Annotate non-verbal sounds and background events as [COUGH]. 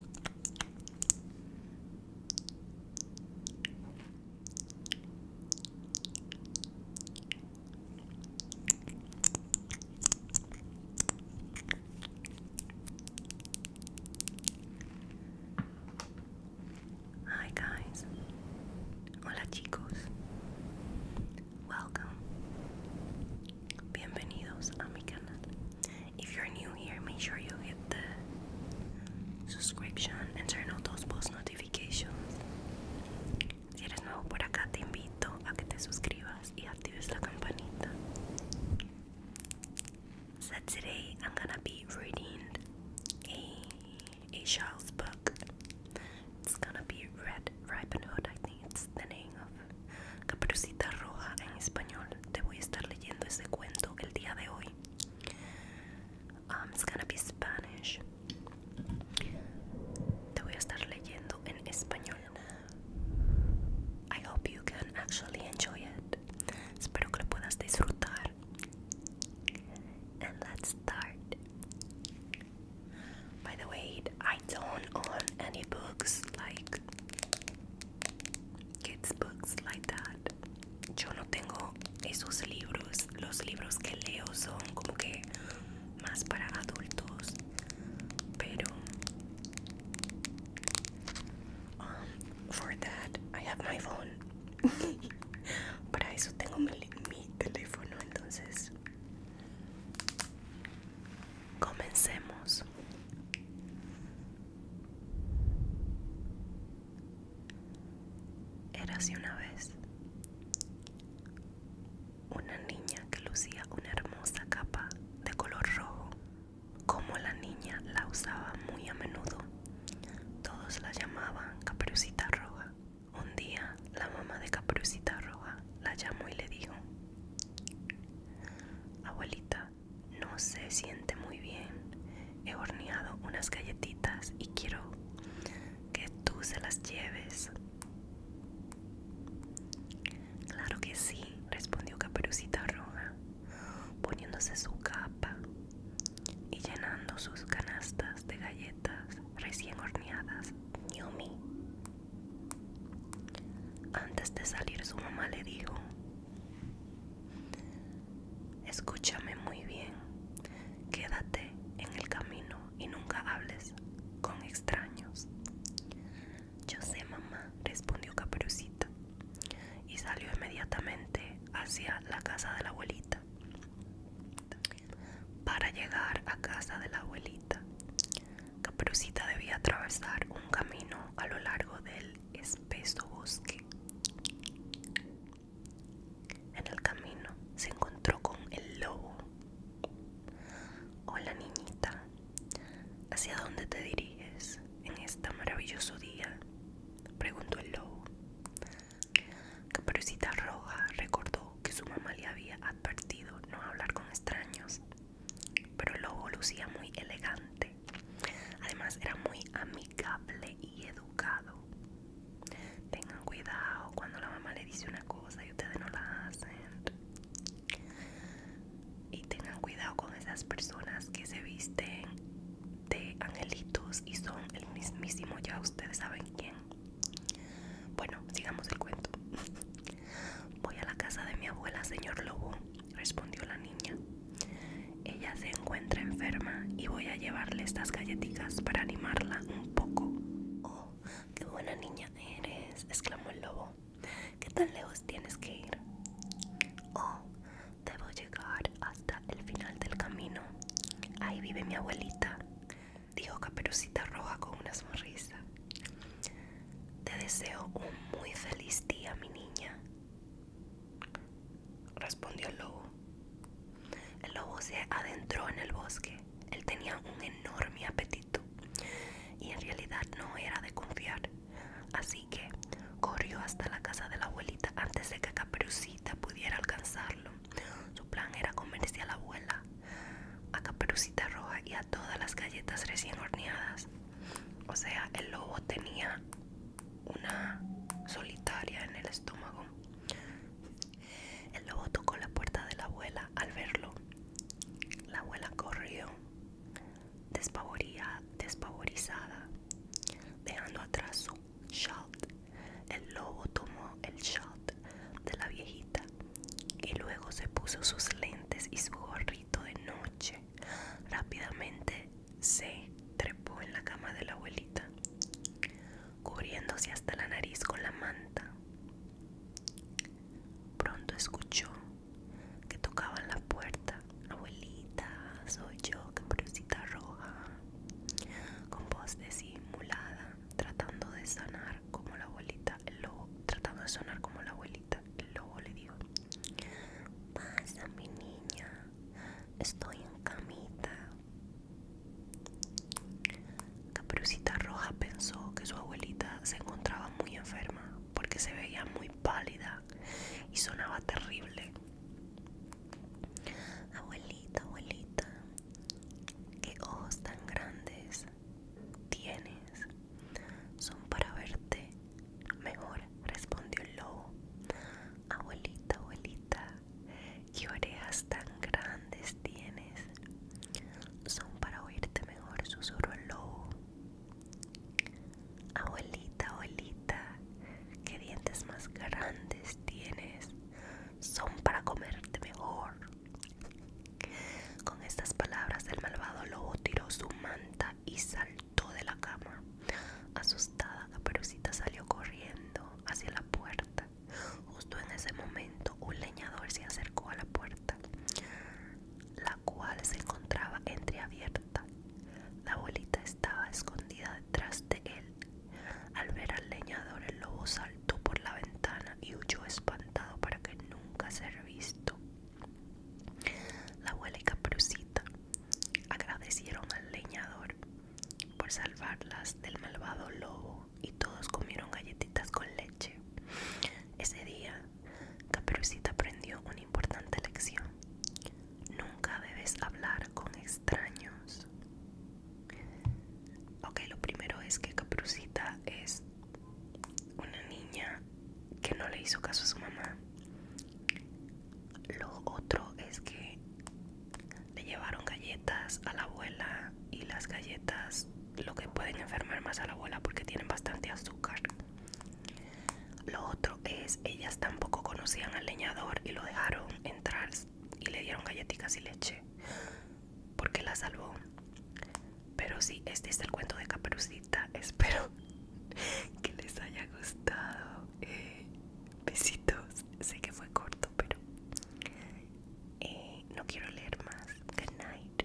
Hi guys. Hola chicos. Welcome. Bienvenidos a mi canal. If you're new here, make sure you hit the subscription and turn on those post notifications. Si eres nuevo por acá, te invito a que te suscribas y actives la campanita. So today I'm gonna be reading a a child's book. It's gonna be Red Ribbon Hood, I es the nombre de Caperucita Roja en español. Te voy a estar leyendo ese cuento el día de hoy. Um, it's gonna be Spanish. Te voy a estar leyendo en español. I hope you can actually enjoy it. Espero que lo puedas disfrutar. And let's start. By the way, I don't own any books like kids books like that. Yo no tengo esos libros. Los libros que leo son como que más para adultos. Pero um, for that I have my phone. [LAUGHS] Para eso tengo mi teléfono entonces. Comencemos. Era así una vez una niña que lucía una hermosa capa de color rojo. Como la niña la usaba muy a menudo, todos la llamaban caprucita Roja. Un día la mamá de Caprucita Roja la llamó y le dijo: Abuelita, no se siente muy bien. He horneado unas galletitas y quiero que tú se las lleves. Claro que sí, respondió Caperucita Roja, poniéndose su capa y llenando sus canastas de galletas recién horneadas. Yumi, antes de salir su mamá le dijo, escúchame muy bien, quédate en el camino y nunca hables con extraños. Yo sé, mamá, respondió Caperucita, y salió inmediatamente hacia la casa de la abuelita. Para llegar a casa de la abuelita, Caperucita debía atravesar un camino a lo largo del espeso bosque. En el camino se encontró con el lobo. Hola niñita, ¿hacia dónde te diriges en este maravilloso día? Preguntó el lobo. Caperucita Roja recordó que su mamá le había advertido no hablar con extraños, pero el lucía muy elegante. Además era muy amigable y educado. Tengan cuidado cuando la mamá le dice una cosa y ustedes no la hacen. Y tengan cuidado con esas personas que se visten de angelitos y son el mismísimo ya ustedes saben quién. Bueno, sigamos el cuento. [LAUGHS] Voy a la casa de mi abuela, señor Lobo, respondió la niña. Ella se encuentra enferma y voy a llevarle estas galletitas para animarla un poco. Oh, qué buena niña eres, exclamó el lobo. ¿Qué tan lejos tienes que ir? Oh, debo llegar hasta el final del camino. Ahí vive mi abuelita dijo Caperucita Roja con una sonrisa. Te deseo un muy feliz día, mi niña, respondió el lobo. El lobo se adentró en el bosque. Él tenía un enorme apetito y en realidad no era de confiar. Así que corrió hasta la casa de la abuelita antes de que Caperucita pudiera alcanzarlo. Su plan era comerse a la abuela, a Caperucita Roja y a todas las galletas recién horneadas. O sea, el lobo tenía una solitaria en el estómago. El lobo tocó la puerta de la abuela al verlo. La abuela corrió, despavorizada, dejando atrás shot. El lobo tomó el shot de la viejita y luego se puso sus lentes y su gorrito de noche. Rápidamente se trepó en la cama de la abuelita, cubriéndose hasta la nariz con la manta. Pronto escuchó que tocaban la puerta. Abuelita, soy yo, Caperucita Roja con voz desimulada, tratando de como la abuelita, tratando de sonar como la abuelita, el lobo le dijo, pasa mi niña, estoy en camita. Caprucita Roja pensó que su abuelita se encontraba muy enferma porque se veía muy pálida y sonaba terrible. Abuelita, abuelita, qué ojos tan grandes tienes. Son para verte mejor, respondió el lobo. Abuelita, abuelita, qué orejas tan grandes tienes. Son para oírte mejor, susurró el lobo. Abuelita, abuelita, qué dientes más grandes tienes. Son para comerte mejor. Con estas palabras el malvado lobo tiró su manta y saltó de la cama. Asustada, la perucita salió corriendo hacia la puerta. Justo en ese momento un leñador se acercó a la puerta, la cual se encontraba entreabierta la bolita estaba escondida detrás de él. Al ver al leñador, el lobo saltó por la ventana y huyó espantado para que nunca ser visto. La abuela y Caprucita agradecieron al leñador por salvarlas del malvado lobo y todos comieron galletitas con leche. Ese día, Caperucita aprendió importante lección. Nunca debes hablar con extraños. Ok, lo primero es que Caprucita es una niña que no le hizo caso a su mamá. Lo otro es que le llevaron galletas a la abuela y las galletas lo que pueden enfermar más a la abuela porque tienen bastante azúcar. Lo otro es, ellas tampoco conocían al leñador y lo dejaron entrar y le dieron galletitas y leche, porque la salvó. Pero sí, este es el cuento de Caperucita. [LAUGHS] Espero que les haya gustado. Eh, besitos. Sé que fue corto, pero eh, no quiero leer más. Good night.